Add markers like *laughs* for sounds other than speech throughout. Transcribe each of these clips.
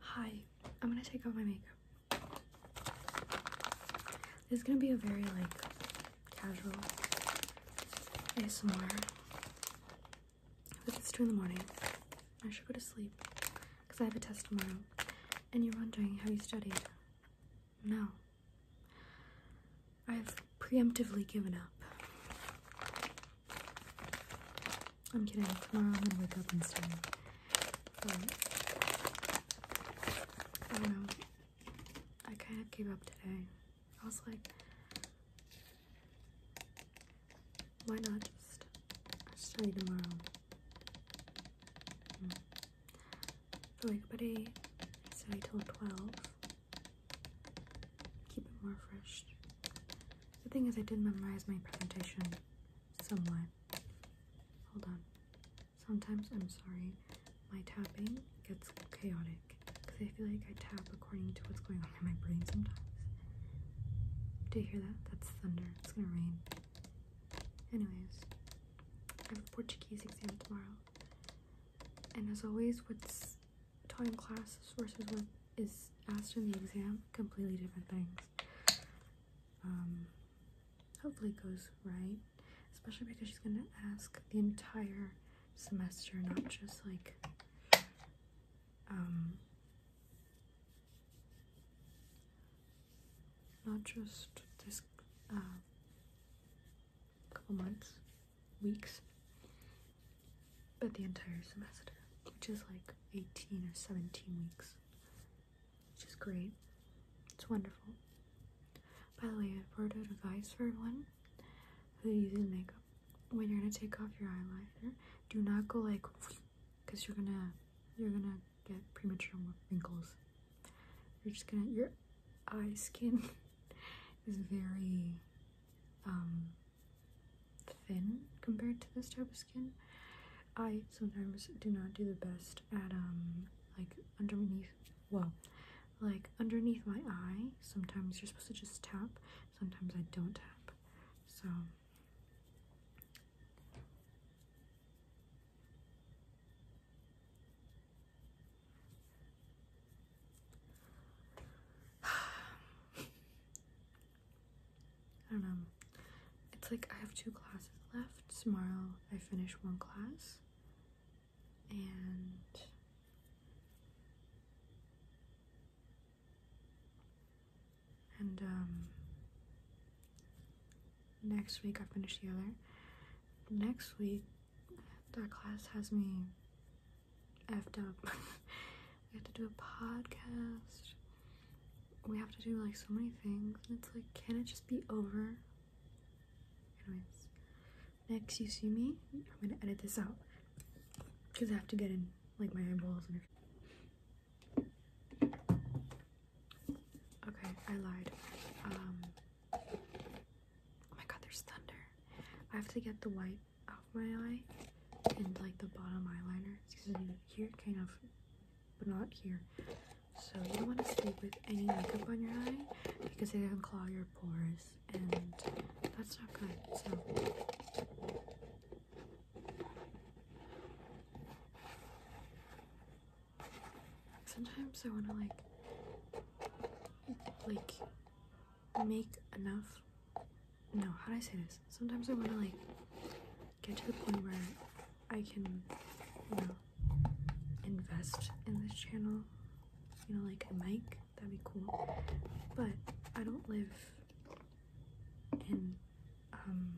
Hi, I'm gonna take off my makeup. This is gonna be a very like casual ASMR. But it's two in the morning. I should go to sleep because I have a test tomorrow. And you're wondering, how you studied? No. I've preemptively given up. I'm kidding. Tomorrow I'm gonna wake up and study. I don't know. I kind of gave up today. I was like, why not just study tomorrow? Mm. like, wake up at eight, study till twelve. Keep it more fresh. The thing is, I did memorize my presentation somewhat. Hold on. Sometimes I'm sorry, my tapping gets chaotic because I feel like I tap according to what's going on in my brain sometimes. Do you hear that? That's thunder. It's gonna rain. Anyways, I have a Portuguese exam tomorrow. And as always, what's taught class versus what is asked in the exam, completely different things. Um, hopefully it goes right, especially because she's gonna ask the entire semester, not just like, um, not just this, uh, couple months, weeks, but the entire semester, which is like 18 or 17 weeks, which is great. It's wonderful. By the way, I've word of advice for everyone who uses makeup. When you're gonna take off your eyeliner, do not go like, because *sniffs* you're gonna you're gonna get premature wrinkles. You're just gonna your eye skin *laughs* is very um, thin compared to this type of skin. I sometimes do not do the best at um like underneath well like underneath my eye sometimes you're supposed to just tap sometimes I don't tap so *sighs* I don't know. It's like I have two classes left. Tomorrow I finish one class. And and um next week I finish the other. Next week that class has me effed up. *laughs* we have to do a podcast. We have to do like so many things. And it's like, can it just be over? Anyways, next you see me, I'm gonna edit this out. Because I have to get in like my eyeballs and everything. Okay, I lied. Um, oh my god, there's thunder. I have to get the white off my eye and like the bottom eyeliner. because Excuse me, here kind of, but not here. So you don't want to stay with any makeup on your eye because it can clog your pores and that's not good. So Sometimes I want to like, like, make enough. No, how do I say this? Sometimes I want to like get to the point where I can, you know, invest in this channel. You know, like a mic. That'd be cool. But I don't live in um,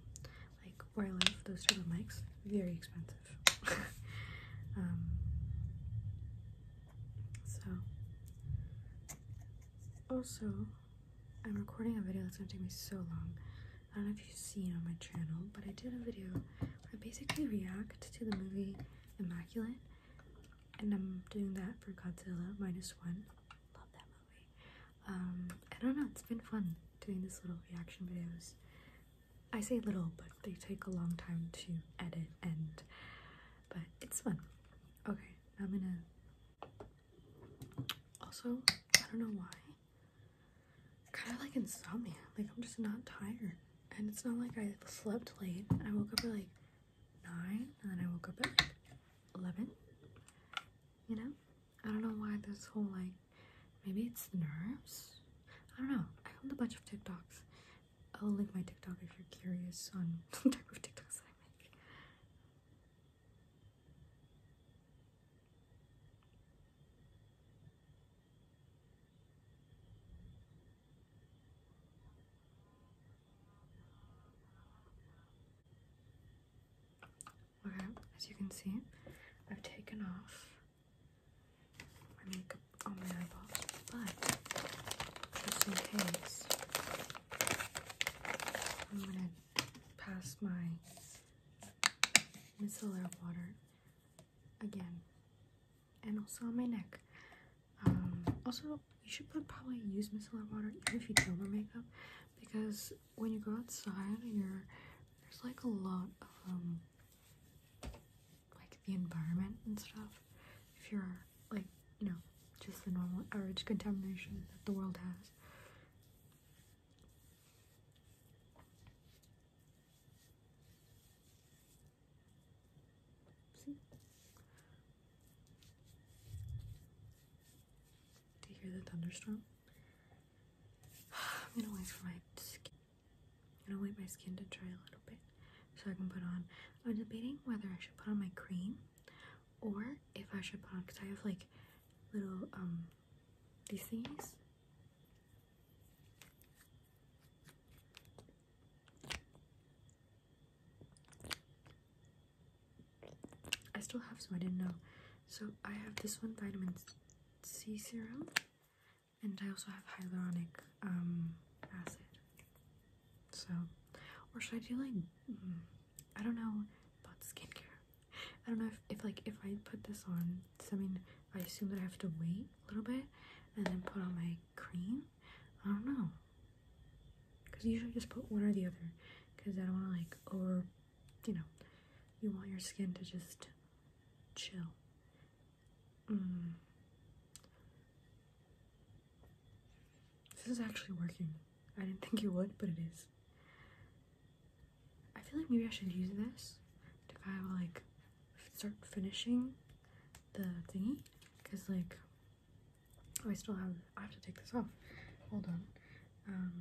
like where I live, those type of mics, very expensive. *laughs* um, so, also, I'm recording a video that's gonna take me so long. I don't know if you've seen on my channel, but I did a video where I basically react to the movie Immaculate, and I'm doing that for Godzilla Minus One. Love that um, I don't know, it's been fun doing this little reaction videos. I say little, but they take a long time to edit and but it's fun. Okay, I'm gonna also I don't know why. Kinda like insomnia. Like I'm just not tired. And it's not like I slept late. I woke up at like nine and then I woke up at eleven you know? I don't know why this whole like, maybe it's nerves? I don't know. I filmed a bunch of TikToks. I'll link my TikTok if you're curious on *laughs* the type of TikToks I make. Okay, as you can see, I've taken off my makeup on my eyeballs, but just in case, I'm gonna pass my micellar water again and also on my neck um, also, you should put, probably use micellar water even if you don't wear makeup because when you go outside, you're there's like a lot of um, like the environment and stuff. If you're like you know just the normal average contamination that the world has. Do you hear the thunderstorm? *sighs* I'm gonna wait for my skin. gonna wait my skin to dry a little bit so I can put on. I'm debating whether I should put on my cream or if I should put on because I have like little um these things. I still have some I didn't know. So I have this one vitamin C serum, and I also have hyaluronic um, acid. So, or should I do like mm, I don't know about skincare. I don't know if, if like if I put this on, does that mean I assume that I have to wait a little bit and then put on my cream. I don't know. Because usually just put one or the other. Because I don't want to like over, you know, you want your skin to just chill. Mm. This is actually working. I didn't *laughs* think it would, but it is. I feel like maybe I should use this to kind of like start finishing the thingy because like I still have I have to take this off hold on um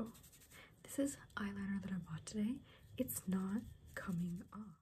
oh this is eyeliner that I bought today it's not coming off